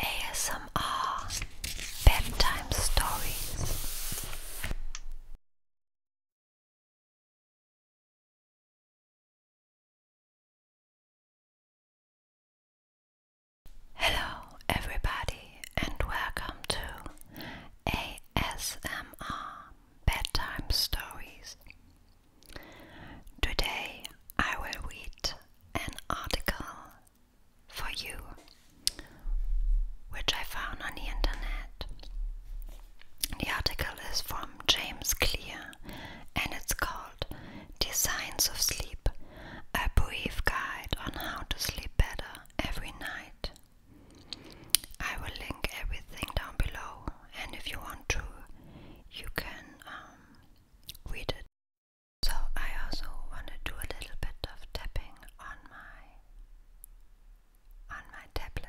ASMR Bedtime Stories Hello, everybody, and welcome to ASMR Bedtime Stories. Today I will read an article for you, which I found on the internet. The article is from James Clear and it's called "Designs of Sleep A Brief Guide on How to Sleep Better Every Night. I will link everything down below, and if you want to, you can um, read it. So, I also want to do a little bit of tapping on my on my tablet.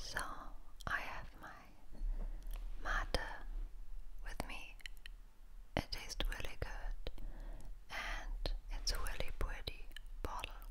So I have my mate with me. It tastes really good and it's really pretty bottle.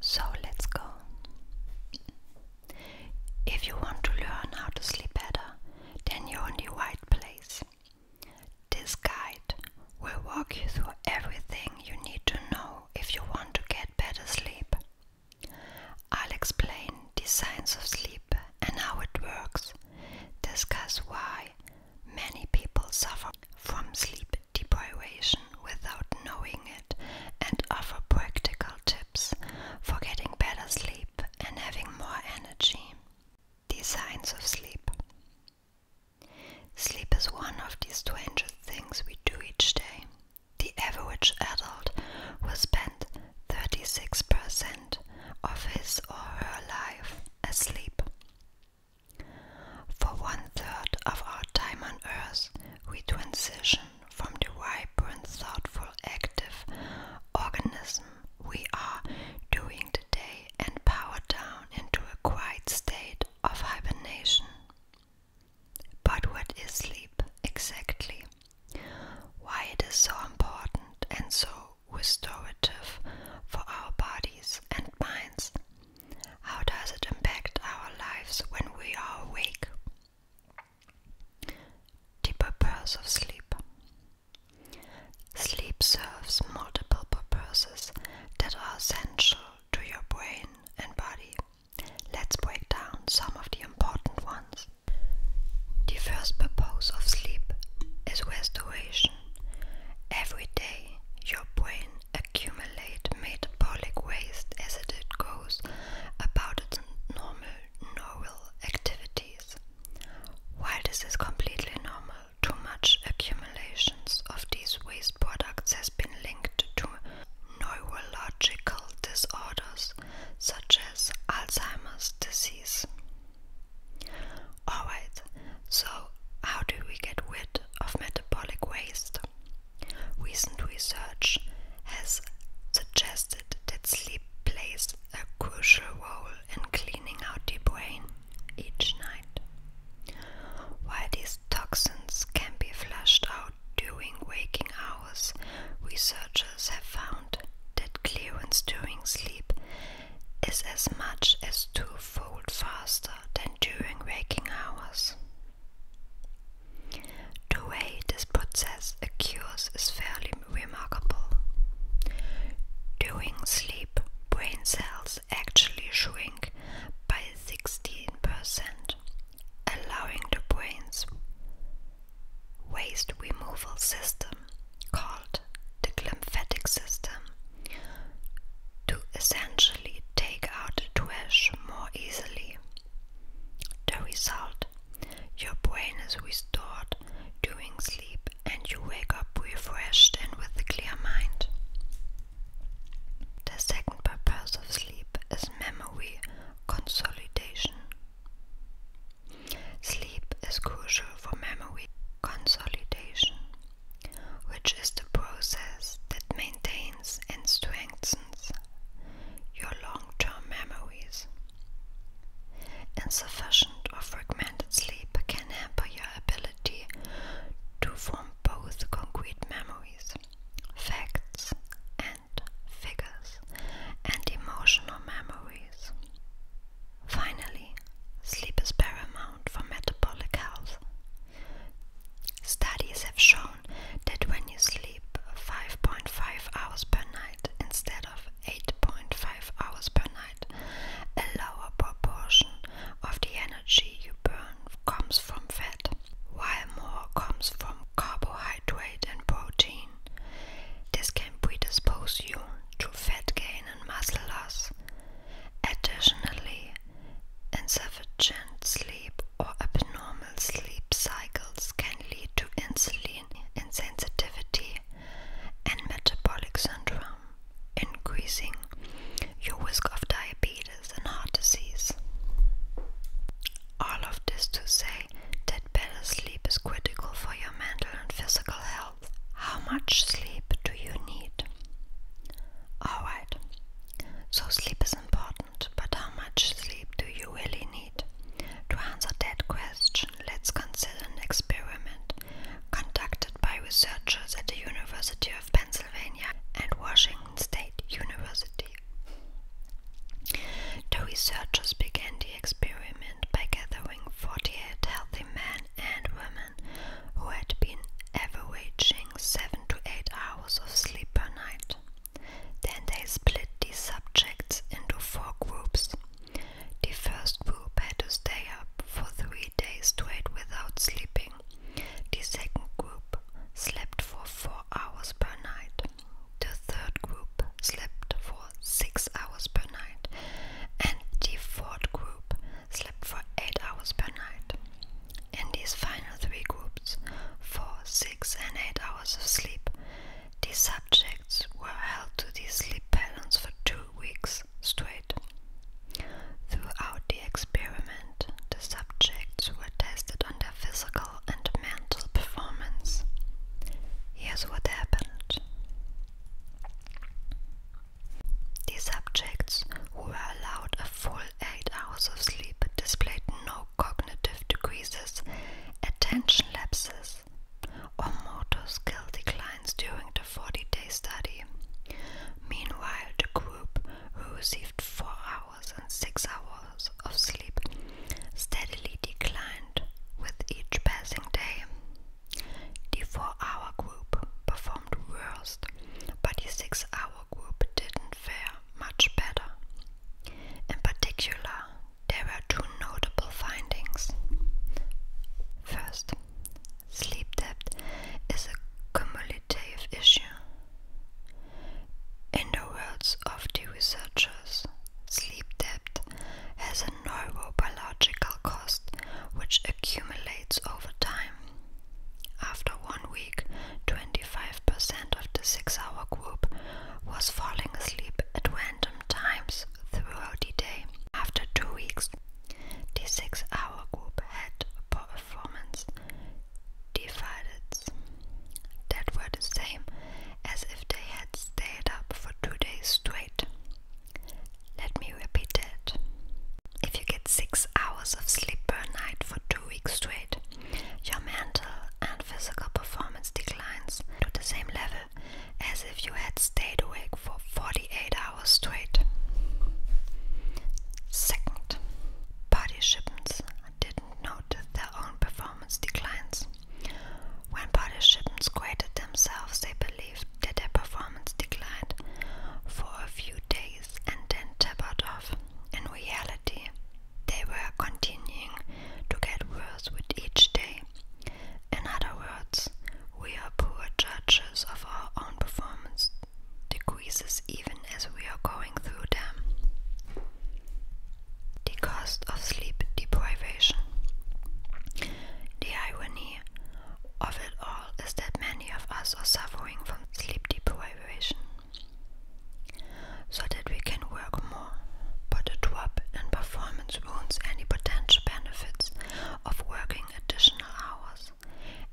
So let's go. If you want to learn how to sleep better, then you're in the right place. This guide will walk you through everything you need to know if you want to get better sleep. I'll explain the science of sleep and how it works, discuss why many people suffer from sleep deprivation without knowing it and offer practical tips for getting better sleep and having more energy. The signs of sleep. Sleep is one of the strangest things we do each day. The average adult will spend 36% of his or her life asleep. For one third of our time on Earth, we transition from the vibrant, thoughtful, active organism we are during the day and power down into a quiet state of hibernation. But what is sleep exactly? Why it is so important and so restorative for our bodies and minds, how does it impact our lives when we are awake? Deeper purpose of sleep. Sleep serves multiple purposes that are essential to your brain and body. Let's break down some of the important ones. The first purpose of sleep is restoration. Every day, your brain accumulate metabolic waste as it goes about its normal normal activities. While this is completely normal, too much accumulations of these waste products has been linked to neurological disorders such as Alzheimer's disease. Alright, so how do we get rid of metabolic waste? Recent research has suggested that sleep plays a crucial role in cleaning out the brain each night. While these toxins can be flushed out during waking hours, researchers have found that clearance during sleep is as much as twofold faster than during waking hours. The way this process occurs is fairly remarkable. During sleep, brain cells actually shrink by 16%, allowing the brain's waste removal system, called the lymphatic system, to essentially take out the trash more easily. The result your brain is restored during sleep and you wake up refreshed and with a clear mind. The second purpose of sleep is memory consolidation. Sleep is crucial for memory consolidation which is the process that maintains and strengthens your long term memories. Insufficient or fragmented sleep can hamper your ability to form both concrete memories, facts and figures, and emotional memories. Finally, sleep is paramount for metabolic health. Studies have shown that when you sleep 5.5 hours per night instead of 8.5 hours per night, a lower proportion of the energy you burn comes from fat, while more comes from carbohydrate and protein. This can predispose you to fat gain and muscle loss. Additionally, Insufficient sleep or abnormal sleep cycles can lead to insulin insensitivity and metabolic syndrome, increasing your risk of diabetes and heart disease. All of this to say that better sleep is critical for your mental and physical health. How much sleep do you need? Alright, so sleep is important, but how much sleep do you really need? To answer that question, let's consider an experiment conducted by researchers at the University of Pennsylvania and Washington State University. The researchers began the experiment by gathering 48 healthy men and women who had been ever averaging 7 to 8 hours of sleep per night. Then they split the subjects into four groups. The first group had to stay up for three days straight without sleeping. The second group slept for four hours per night. The third group slept for six hours per night. And the fourth group slept for eight hours per night. In these final three groups, for six, and eight hours of sleep, these subjects were held to these sleep patterns for two weeks straight. Throughout the experiment, the subjects were tested on their physical and mental performance. Here's what happened. The subjects who were allowed a full eight hours of sleep displayed no cognitive decreases, attention lapses, or motor skill declines during the 40 day study. Meanwhile, the group who received 4 hours and 6 hours of sleep steadily declined with each passing day. The 4 hour group performed worst, but the 6 hour group didn't fare much better. In particular, there were two notable findings. First, sleep debt is a cumulative issue. In the words of the researchers, sleep debt has a neurobiological cost which accumulates over time. After one week, 25% of the six hour group was falling asleep at random times throughout the day. After two weeks, the six hour group had performance deficits that were the same as if they had stayed up for two days straight. Let me repeat that. If you get six hours of sleep per night for two weeks straight. Your mental and physical performance declines to the same level as if you had stayed awake for 48 hours straight. Second, participants didn't notice their own performance declines. When participants graded themselves, they believed that their performance declined for a few days and then tapered off. In reality, they were continuing to get worse with each day. In other words, we are poor judges of our own performance decreases even as we are going through them. The cost of sleep deprivation. The irony of it all is that many of us are suffering from sleep deprivation so that we can work more, but the drop in performance wounds any potential benefits of working additional hours.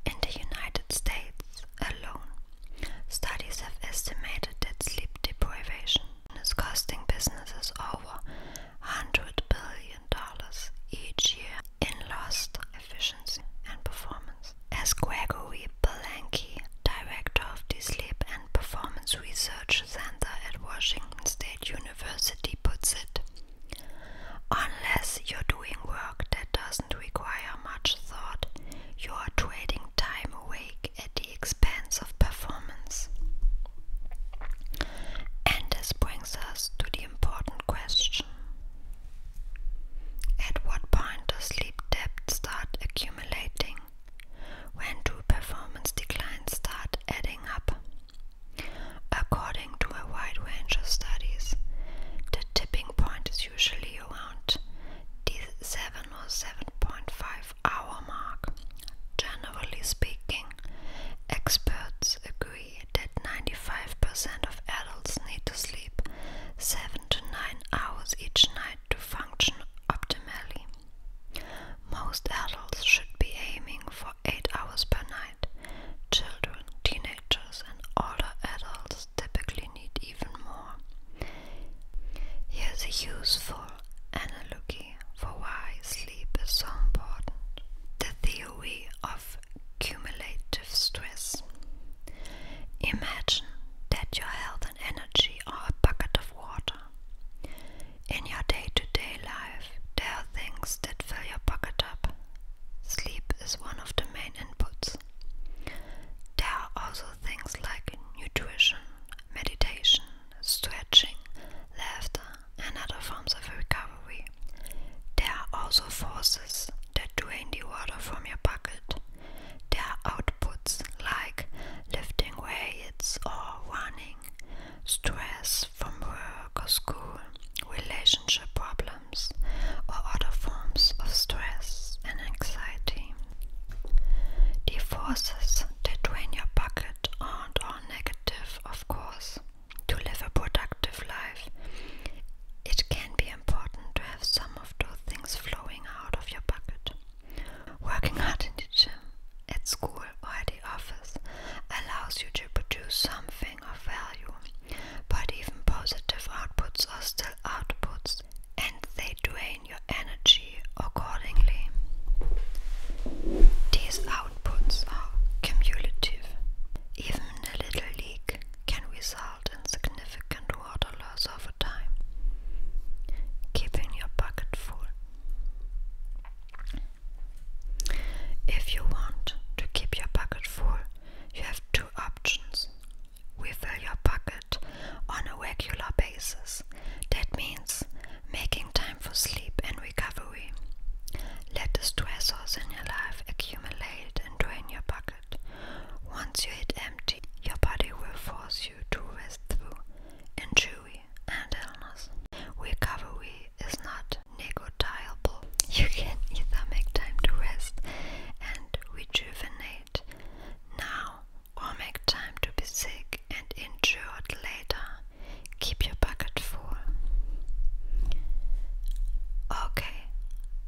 In the United States alone, studies have estimated that sleep deprivation is costing businesses over $100 billion each year in lost efficiency and performance. As Gregory Belanke, director of the Sleep and Performance Research Center at Washington State University, puts it, unless you're doing work that doesn't require much thought, you are trading time awake at the expense of performance. And this brings us to the important question at what point does sleep debt start accumulating? When do performance declines start adding up? According to a wide range of studies, the tipping point is usually around the 7 or 7.5 hour mark. Generally speaking, experts agree that 95% of adults need to sleep 7 to 9 hours each night to function optimally. Most adults should be aiming for 8 hours per night. Children, teenagers, and older adults typically need even more. Here's a useful analogy for why sleep is so important. The theory of cumulative stress. Imagine that your health and energy are a bucket of water. In your day to day life, there are things that fill your bucket up. Sleep is one of the main inputs. There are also things like nutrition, meditation, stretching, laughter, and other forms of recovery. There are also forces that drain the water from your bucket. Their outputs, like lifting weights or running, stress from work or school, relationship problems, or other forms of stress and anxiety. The forces that drain your bucket aren't all negative, of course. To live a productive life, it can be important to have some of two things flowing out of your pocket, Working hard in the gym, at school, or at the office allows you to produce something of value, but even positive outputs are still outputs and they drain your energy accordingly. These outputs are cumulative. Even a little leak can result result in significant water loss over time. Keeping your bucket full. If you want to keep your bucket full, you have two options. Refill your bucket on a regular basis. That means making time for sleep and recovery. Let the stressors in your life accumulate and drain your bucket. Once you hit empty, your body will force you to rest through injury and illness. Recovery is not negotiable. You can either make time to rest and rejuvenate now or make time to be sick and injured later. Keep your bucket full. Okay,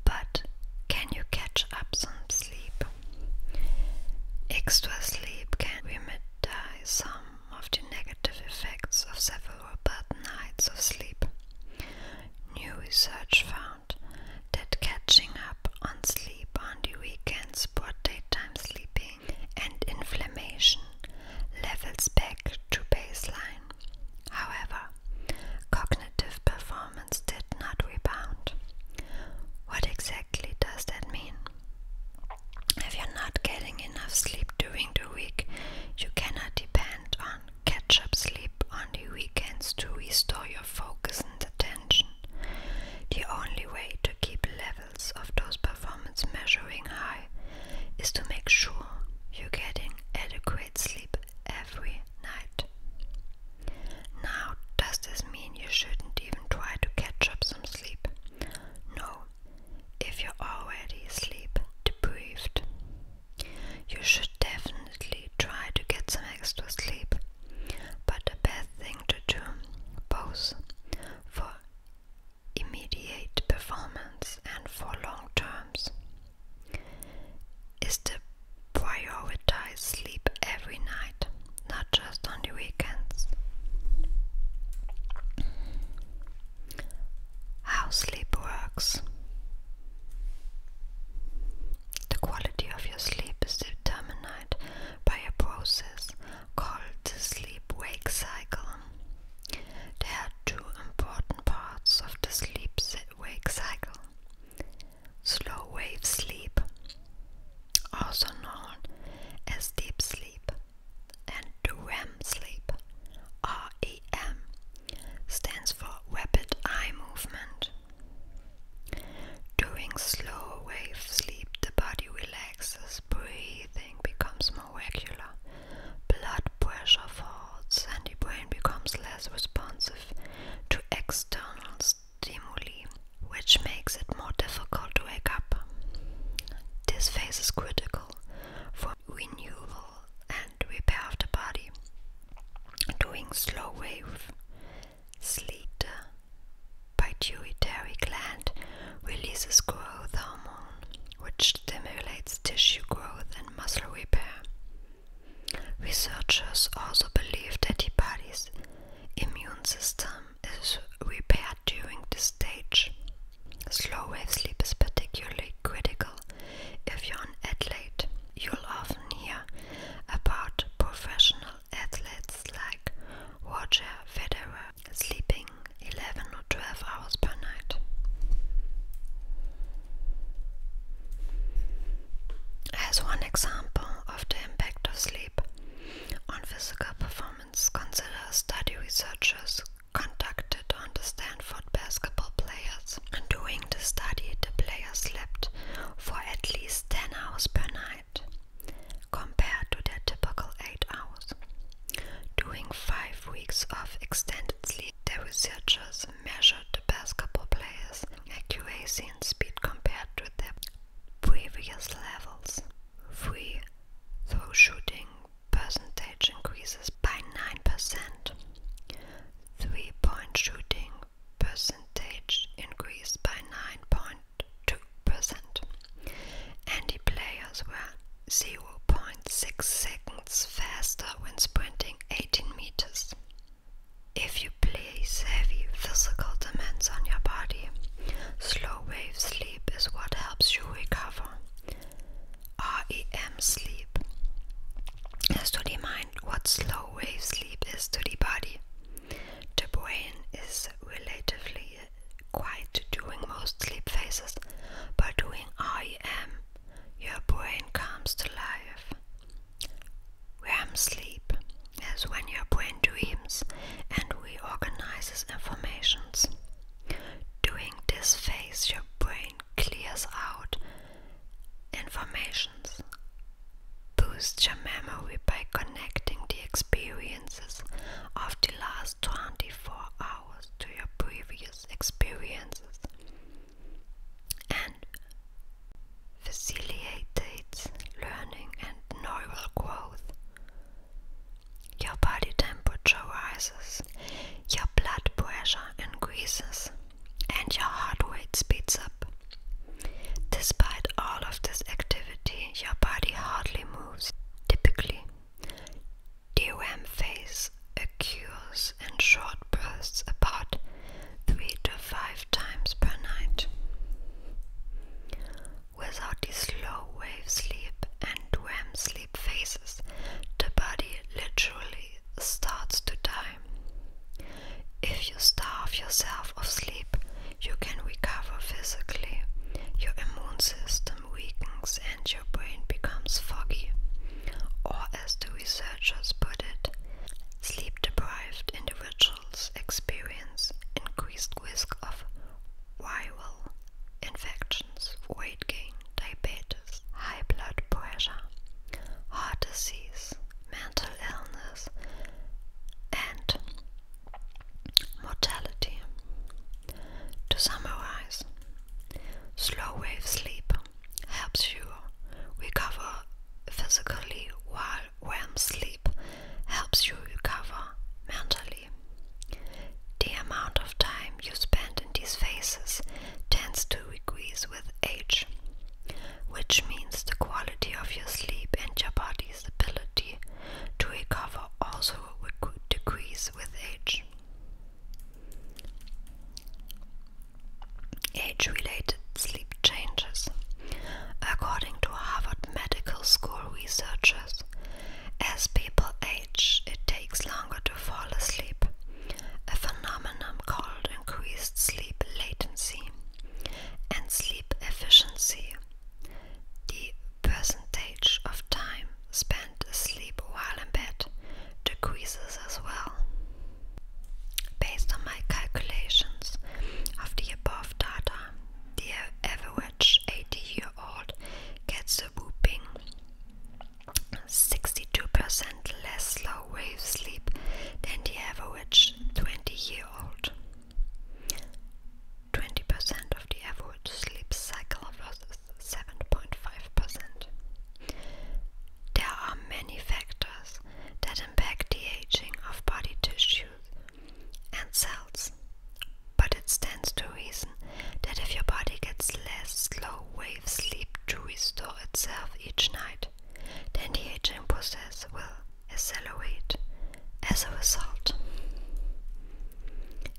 but can you catch up some sleep? Extra sleep can remedize some of the negative effects of several bad nights of sleep. New research found that catching up on sleep on the weekends brought daytime sleeping and inflammation levels back to baseline. However, cognitive performance did not rebound. What exactly does that mean? If you're not getting enough sleep during the week, you cannot depend on catch up sleep on the weekends to restore your focus and attention. The only way to keep levels of those performance measuring high is to make sure you're getting adequate sleep every night. Now, does this mean you shouldn't even try to catch up some sleep? No, if you're already sleep deprived, you should definitely try to get some extra sleep. But the best thing to do, both for immediate performance and for long terms, is to prioritize sleep every night, not just on the weekends. How sleep works. The quality of your sleep is determined by a process called the sleep wake cycle. There are two important parts of the sleep wake cycle Slow wave sleep, also known as deep sleep, and REM sleep, REM, stands for rapid eye movement. During slow wave sleep, the body relaxes, breathing becomes more regular, blood pressure falls, and the brain becomes less responsive to external stimuli stimuli, which makes it more difficult to wake up. This phase is critical for renewal and repair of the body. Doing slow wave sleep, by the pituitary gland releases growth hormone, which stimulates tissue growth and muscle repair. Researchers also believe that the body's immune system is repaired during this stage. Slow wave sleep is particularly critical if you're an athlete. You'll often hear about professional athletes like Roger Federer sleeping 11 or 12 hours per night. As one example, of impact of sleep on physical performance, consider study researchers conducted on the Stanford basketball players. During the study, the players slept for at least 10 hours per night, compared to their typical 8 hours. During five weeks of extended sleep, the researchers measured basketball players' accuracy speed compared to their previous levels. Free throw shooting percentage increases by 9%. Three point shooting percentage increased by 9.2%. And players were 0.6 seconds faster when sprinting 18 meters. If you place heavy physical demands on your body, slow wave sleep is what helps you recover. REM sleep is to the mind what slow wave sleep is to the body. The brain is relatively quiet during most sleep phases, but during REM, your brain comes to life. REM sleep as when your brain dreams and reorganizes informations. doing this phase, your brain clears out informations, boosts your memory by connecting the experiences of the last 24 hours to your previous experiences, and facilitates learning and neural growth. Your body temperature rises, your blood pressure increases, and your heart rate speeds up. Despite all of this activity, your body hardly moves. Typically, DRAM phase occurs in short bursts apart three to five times per night. Without these slow wave sleep and REM sleep phases, the body literally starts to die. If you starve yourself of sleep, you can recover physically. Your immune system weakens and your brain becomes foggy. Or, as the researchers put it, Sleep deprived individuals experience increased risk of viral infections, weight gain, diabetes, high blood pressure, heart disease, mental illness, and mortality. To summarize, slow wave sleep helps you recover physically while REM sleep helps you recover mentally. The amount of time you spend in these phases tends to decrease with age, which means the quality of your sleep and your body's ability to recover also would decrease with age age-related sleep changes. According to Harvard Medical School researchers, as people age, it takes longer to fall asleep, a phenomenon called increased sleep latency and sleep efficiency, the percentage of time spent asleep while in bed decreases as well. Based on my calculations of the above data, the average 80 year old gets a whooping 62% less slow wave sleep than the average 20 year old. 20% of the average sleep cycle versus 7.5%. There are many factors that impact the aging of body tissue and cells. But it stands to reason that if your body gets less slow wave sleep to restore itself each night, then the aging process will accelerate as a result.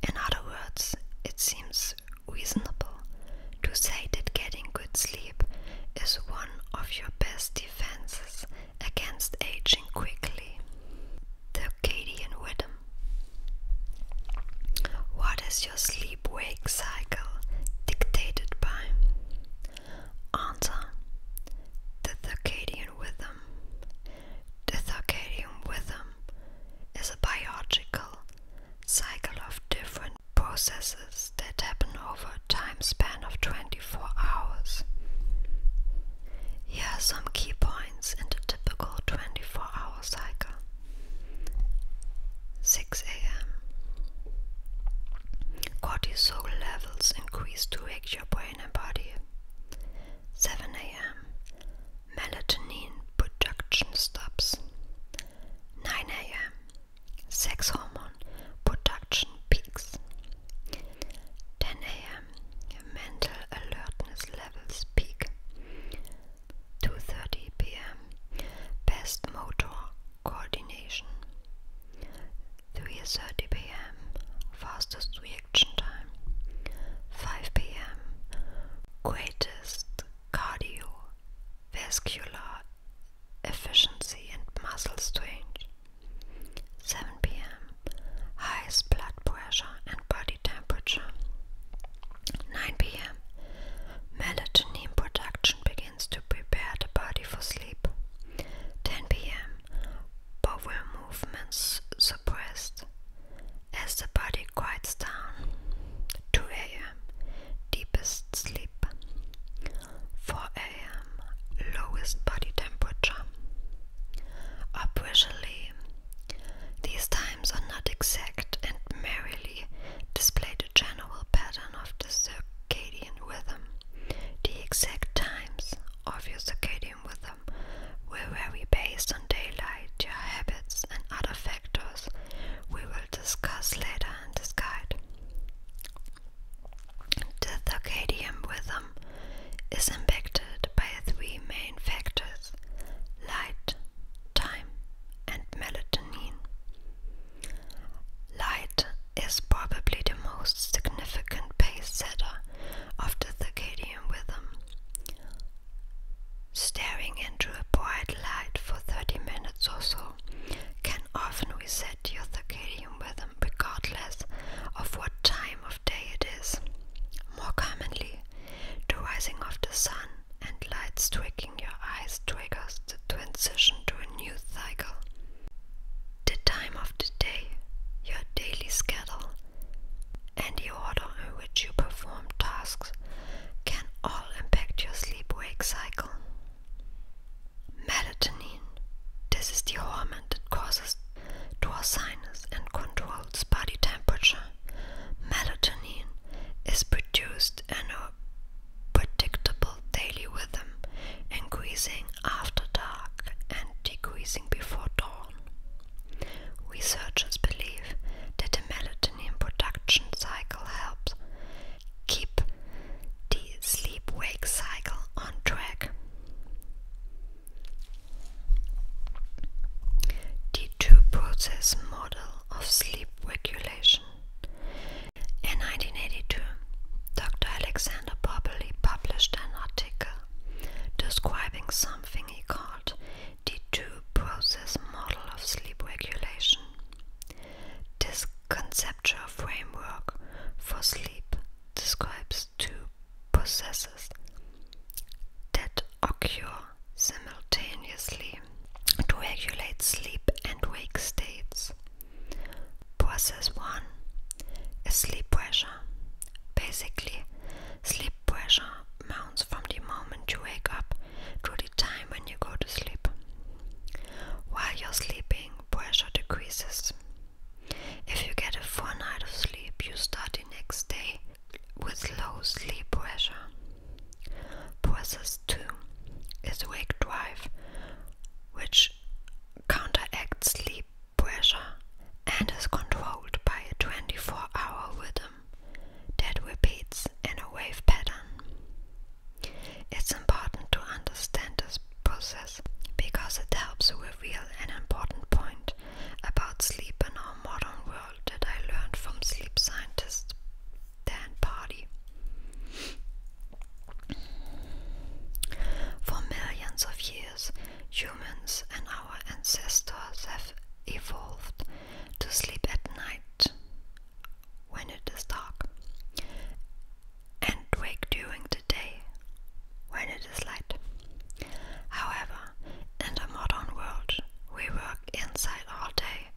In other words, it seems reasonable to say that getting good sleep is one of your best defenses against aging quickly. The Acadian Rhythm. What is your sleep wake cycle dictated by? Answer The Circadian Rhythm. The Circadian Rhythm is a biological cycle of different processes that happen over a time span of 24 hours. Here are some key points in the typical 24 hour cycle 6 a.m. Cortisol levels increase to wake your brain and body. 7 a.m. Melatonin production stops. 9 a.m. Sex hormone production peaks. 10 a.m. Mental alertness levels peak. 2.30 p.m. Best motor coordination. 3.30 p.m. Fastest reaction time. 5 p.m. Greatest cardiovascular efficiency and muscle strength. 7 pm highest blood pressure and body temperature. 9 pm melatonin production begins to prepare the body for sleep. 10 pm bowel movements suppressed as the body quiets down. 2 am deepest sleep. 4 am lowest body temperature. Operationally, these times are not exact and merely display the general pattern of the circadian rhythm. The exact times of your circadian rhythm will vary based on daylight, your habits, and other factors we will discuss later in this guide. The circadian rhythm is impacted by three main factors light, time, and melatonin. Light is probably the most significant pace setter of the circadian rhythm. Staring into a bright light for 30 minutes or so can often reset your circadian rhythm regardless of what time of day it is. More commonly, the rising of the sun and lights striking your eyes triggers the transition to a new cycle. The time of the day, your daily schedule, and the order in which you perform tasks can all impact your sleep wake cycle. Melatonin. This is the hormone that causes dorsiness and controls body temperature. Melatonin is produced in a predictable daily rhythm, increasing after dark and decreasing before dawn. Researchers believe that the melatonin production cycle helps keep the sleep wake cycle on track. The two process model of sleep regulation. In 1982, Dr. Alexander Popperly published an article describing something he called the two process model of sleep regulation. This conceptual framework for sleep describes two processes that occur simultaneously to regulate sleep and wake states. Process 1 is sleep pressure. Basically, sleep pressure mounts from the moment you wake up to the time when you go to sleep. While you're sleeping, pressure decreases. If you get a 4 night of sleep, you start the next day with low sleep pressure. Process 2 is wake drive, which counteracts sleep pressure and is controlled by a 24 hour rhythm that repeats in a wave pattern. It's important to understand this process because it helps to reveal an important point about sleep in our modern world that I learned from sleep scientist Dan Pardy. For millions of years, humans and our ancestors have evolved to sleep at night when it is dark and wake during the day when it is light. However, in the modern world, we work inside all day,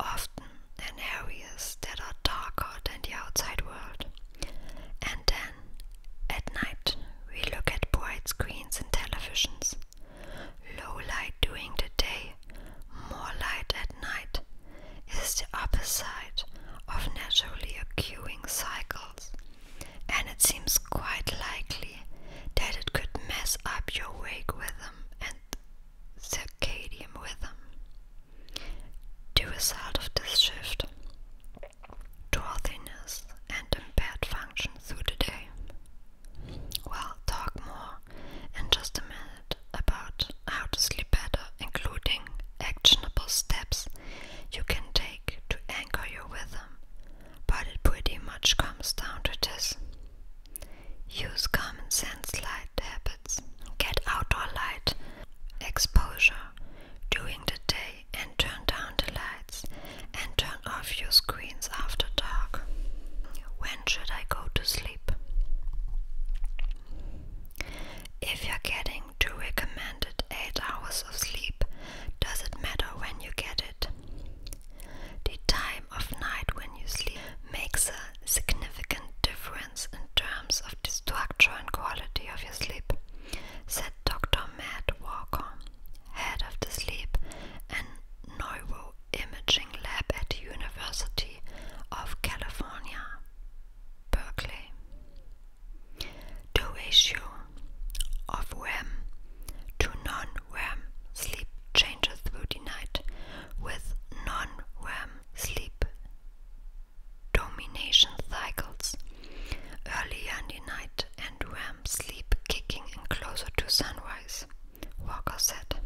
often in areas that are darker than the outside world. And then, at night, we look at bright screens and televisions. Low light during the day, more light at night, is the opposite of naturally occurring cycles, and it seems quite likely that it could mess up your wake rhythm and circadian rhythm. The result of this shift drowsiness and impaired function through the day. Well, talk more in just a minute about how to sleep better, including actionable steps you can take to anchor your rhythm, but it pretty much comes down to this. Use common sense light habits. Get outdoor light exposure during the day and turn down the lights and turn off your screens after dark. When should I go to sleep? If you're getting to recommended 8 hours of sleep, does it matter when you get it? The time of night when you sleep makes a significant difference in terms of the structure and quality of your sleep, said Dr. Matt Walker, head of the sleep and neuroimaging lab at University of California, Berkeley. The ratio of REM to non-REM sleep changes through the night, with non-REM sleep domination cycles earlier in the night and REM sleep kicking in closer to sunrise, Walker said.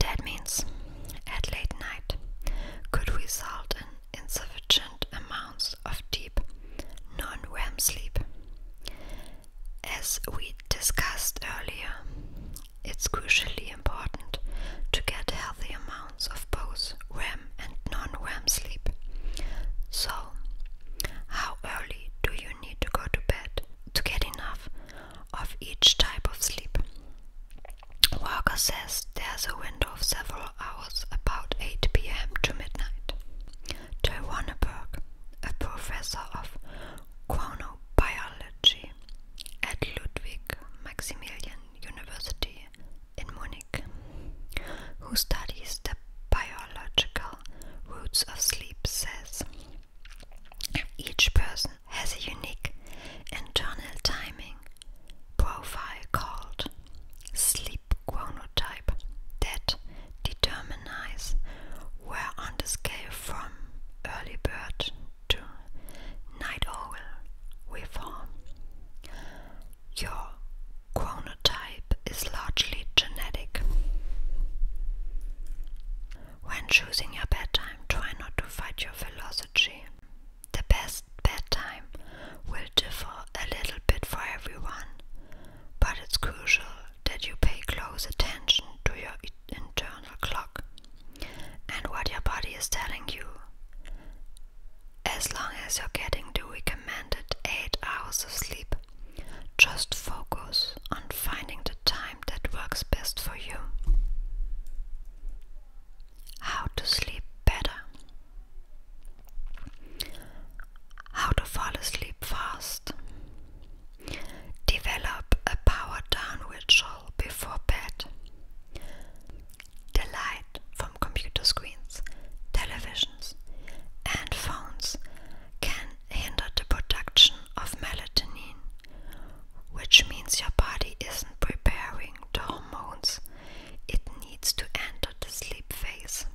That means at late night could result in insufficient amounts of deep non REM sleep. As we discussed earlier, it's crucially important to get healthy amounts of both REM and non REM sleep. So, how early do you need to go to bed to get enough of each type of sleep? Walker says there's a window of several hours, about 8 pm to midnight. Joy Wanneberg, a professor of chronobiology at Ludwig Maximilian University in Munich, who studies the biological roots of sleep, says each person has a unique internal timing profile called sleep chronotype that determines where on the scale from early bird to night owl we fall. Your chronotype is largely genetic. When choosing your bedtime, try not to fight your philosophy the best bedtime will differ a little bit for everyone, but it's crucial that you pay close attention to your internal clock and what your body is telling you. As long as you're getting the recommended 8 hours of sleep, just focus on finding the time that works best for you how to sleep better, how to fall asleep fast, develop a power down ritual before bed, the light from computer screens, televisions, and phones can hinder the production of melatonin, which means your body isn't preparing the hormones it needs to enter the sleep phase.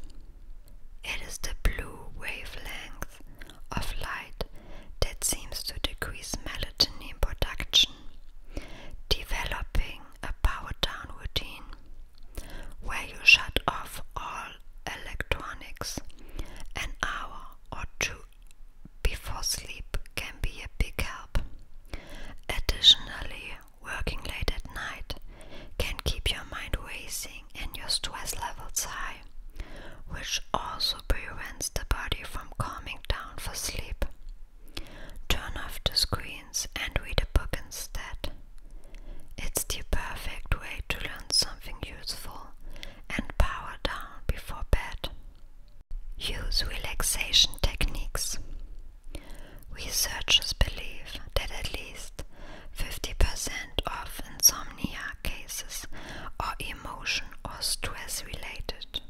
It is the blue wavelength of light that seems to decrease melatonin production, developing a power down routine where you shut off all electronics. An hour or two before sleep can be a big help. Additionally, working late at night can keep your mind racing and your stress levels high, which also prevents the body from calming down for sleep. Turn off the screens and read a book instead. It's the perfect way to learn something useful and power down before bed. Use relaxation techniques. Researchers believe that at least 50% of insomnia cases are emotion or stress related.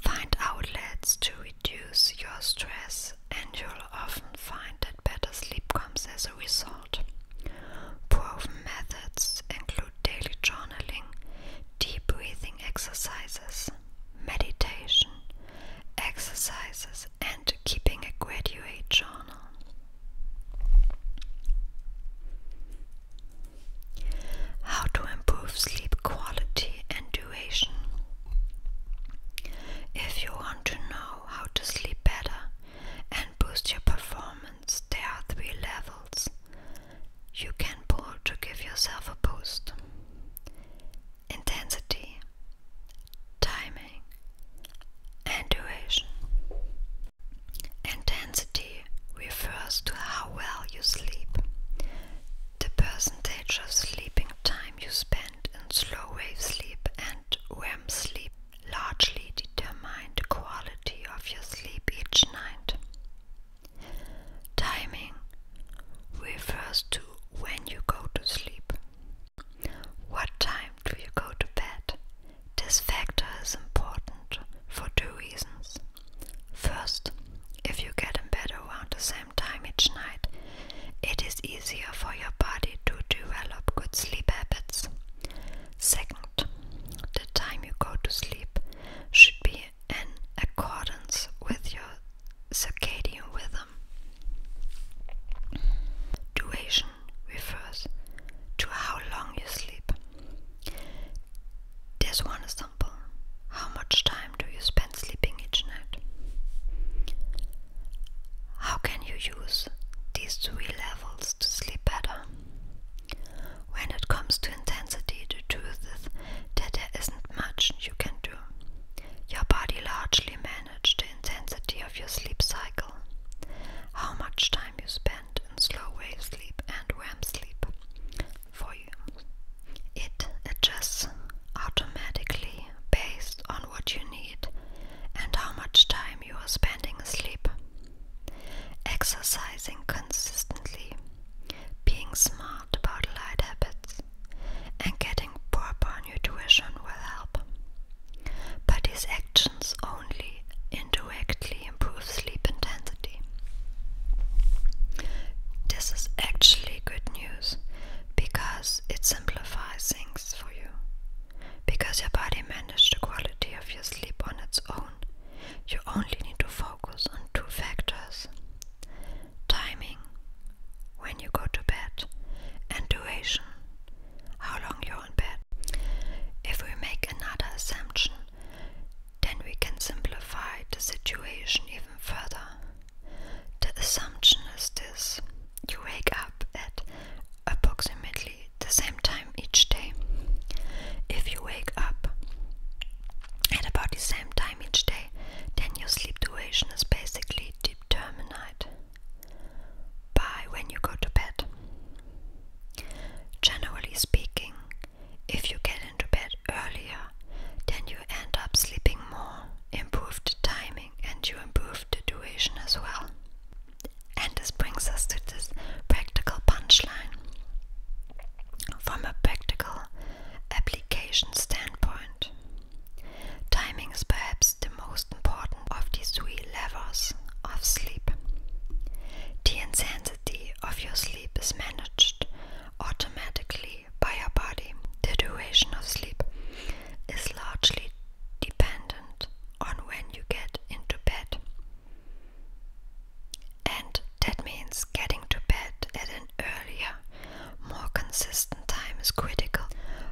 Find outlets to reduce your stress, and you'll often find that better sleep comes as a result. Proven methods include daily journaling, deep breathing exercises, meditation, exercises, and keeping a graduate journal. How to improve sleep quality and duration. If you want to know how to sleep better and boost your performance, there are three levels you can pull to give yourself a boost intensity, timing, and duration. Intensity refers to how well you sleep, the percentage of sleeping time you spend in slow wave sleep and REM sleep largely determine the quality of your sleep each night. Timing refers to when you go to sleep? What time do you go to bed? This factor is important for two reasons. First, if you get in bed around the same time each night, it is easier for your body to develop good sleep habits. Second, the time you go to sleep should be in accordance with your circadian rhythm. Duration refers to how long you sleep. This one is simple. How much time do you spend sleeping each night? How can you use these three levels to sleep better? When it comes to intensity, the truth is that there isn't much you can do. Your body largely manages the intensity of your sleep cycle, how much time you spend in slow wave sleep and REM sleep for you. It adjusts automatically based on what you need and how much time you are spending asleep. Exercising consistently, being smart about light habits, and getting proper nutrition will help. But these actions only indirectly improve sleep intensity. This is actually good news because it simplifies things for you. Because your body manages the quality of your sleep on its own, you only need to focus on two factors timing when you go to bed, and duration, how long you're in bed. If we make another assumption, then we can simplify the situation even further. The assumption is this you wake up at approximately the same time each day. If you wake up at about the same time each day, then your sleep duration is basically determined by when you go to bed. Generally speaking, if you get into bed earlier, then you end up sleeping more, Improved the timing, and you improve the duration as well. And this brings us to this practical punchline. From a practical application standpoint, Timing is perhaps the most important of these three levels of sleep. The intensity of your sleep is managed automatically by your body. The duration of sleep is largely dependent on when you get into bed. And that means getting to bed at an earlier more consistent time is critical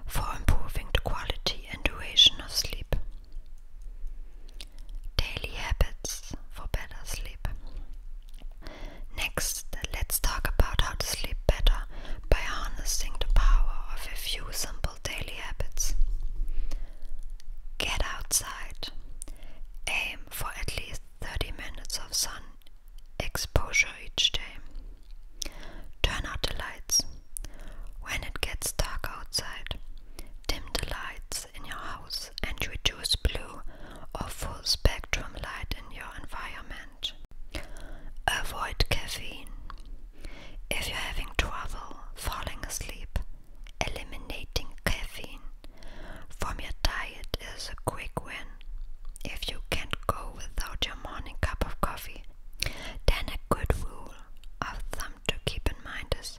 for improving the quality and duration of sleep. Daily habits for better sleep. Next, let's talk about how to sleep better by harnessing the power of a few simple daily habits. Get outside. Aim for at least 30 minutes of sun exposure each day. Turn out the lights. When it gets dark outside, dim the lights in your house and reduce blue or full spectrum light in your environment. Avoid caffeine. If you're having trouble falling asleep, eliminating caffeine from your diet is a quick win. If you can't go without your morning cup of coffee, then a good rule of thumb to keep in mind is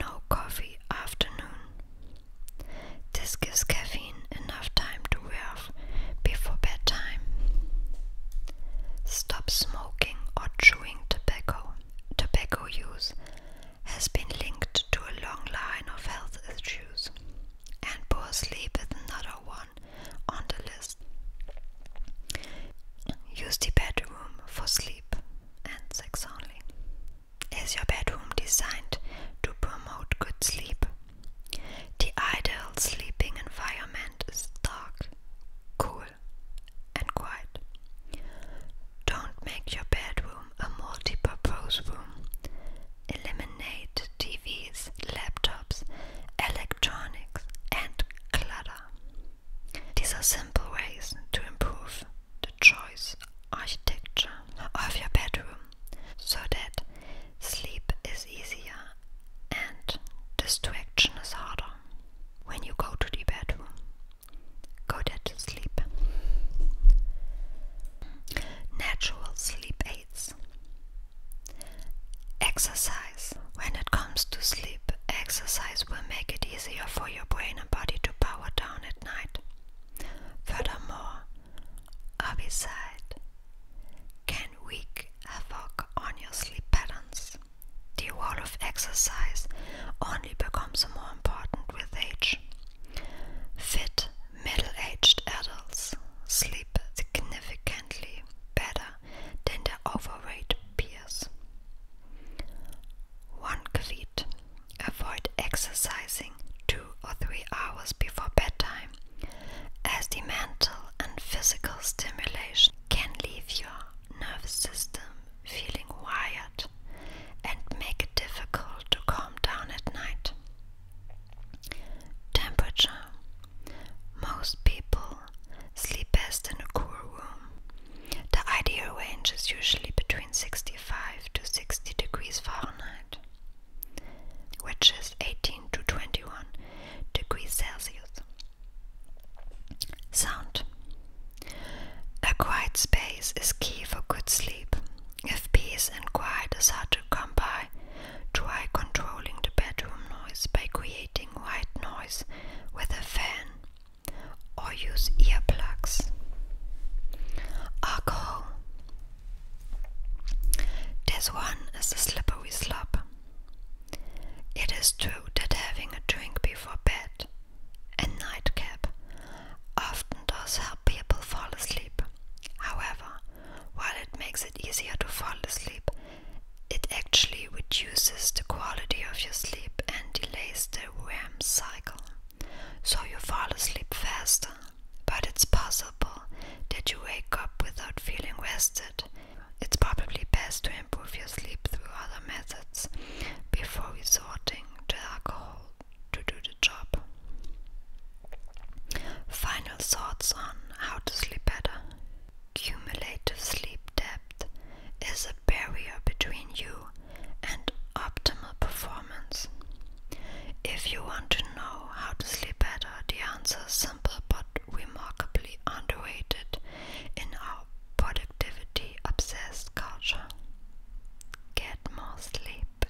no coffee afternoon. This gives caffeine enough time to wear off before bedtime. Stop smoking or chewing tobacco. Tobacco use has been linked to a long line of health issues, and poor sleep is another one on the list. Use the bedroom for sleep and sex only. Is your bedroom designed to promote good sleep? The ideal sleeping environment is dark, cool, and quiet. Don't make your bedroom a multi purpose room eliminate TVs, laptops, electronics, and clutter. These are simple ways to improve the choice architecture of your bedroom so that sleep is easier and distraction is harder. When you go to the bedroom, go there to sleep. Natural sleep aids. Exercise. When it comes to sleep, exercise will make it easier for your brain and body to power down at night. Furthermore, herbicide can wreak havoc on your sleep patterns. The role of exercise only becomes more important with age. Fit Middle-aged adults sleep significantly better than their overweight peers. 1. tip: Avoid exercising 2 or 3 hours before bedtime as the mental and physical stimulation can leave your nervous system feeling wired and make it difficult to calm down at night. Temperature Most people sleep best in a cool room. The ideal range is usually between 65 to 60 degrees Fahrenheit, which is 18 to 21 degrees Celsius. Sound A quiet space is key for good sleep. If peace and quiet is hard to come by, Try controlling the bedroom noise by creating white noise with a fan or use earplugs. Alcohol. This one is a slippery slope. It is true that having a drink before bed and nightcap often does help people fall asleep. However, while it makes it easier to fall asleep, it actually reduces the quality of your sleep and delays the REM cycle. So you fall asleep faster, but it's possible that you wake up without feeling rested. It's probably best to improve your sleep through other methods before resorting to alcohol to do the job. Final thoughts on how to sleep better. Cumulative sleep debt is a barrier between you and optimal performance. If you want to know how to sleep better, the answer is simple but remarkably underrated in our productivity obsessed culture. Get more sleep.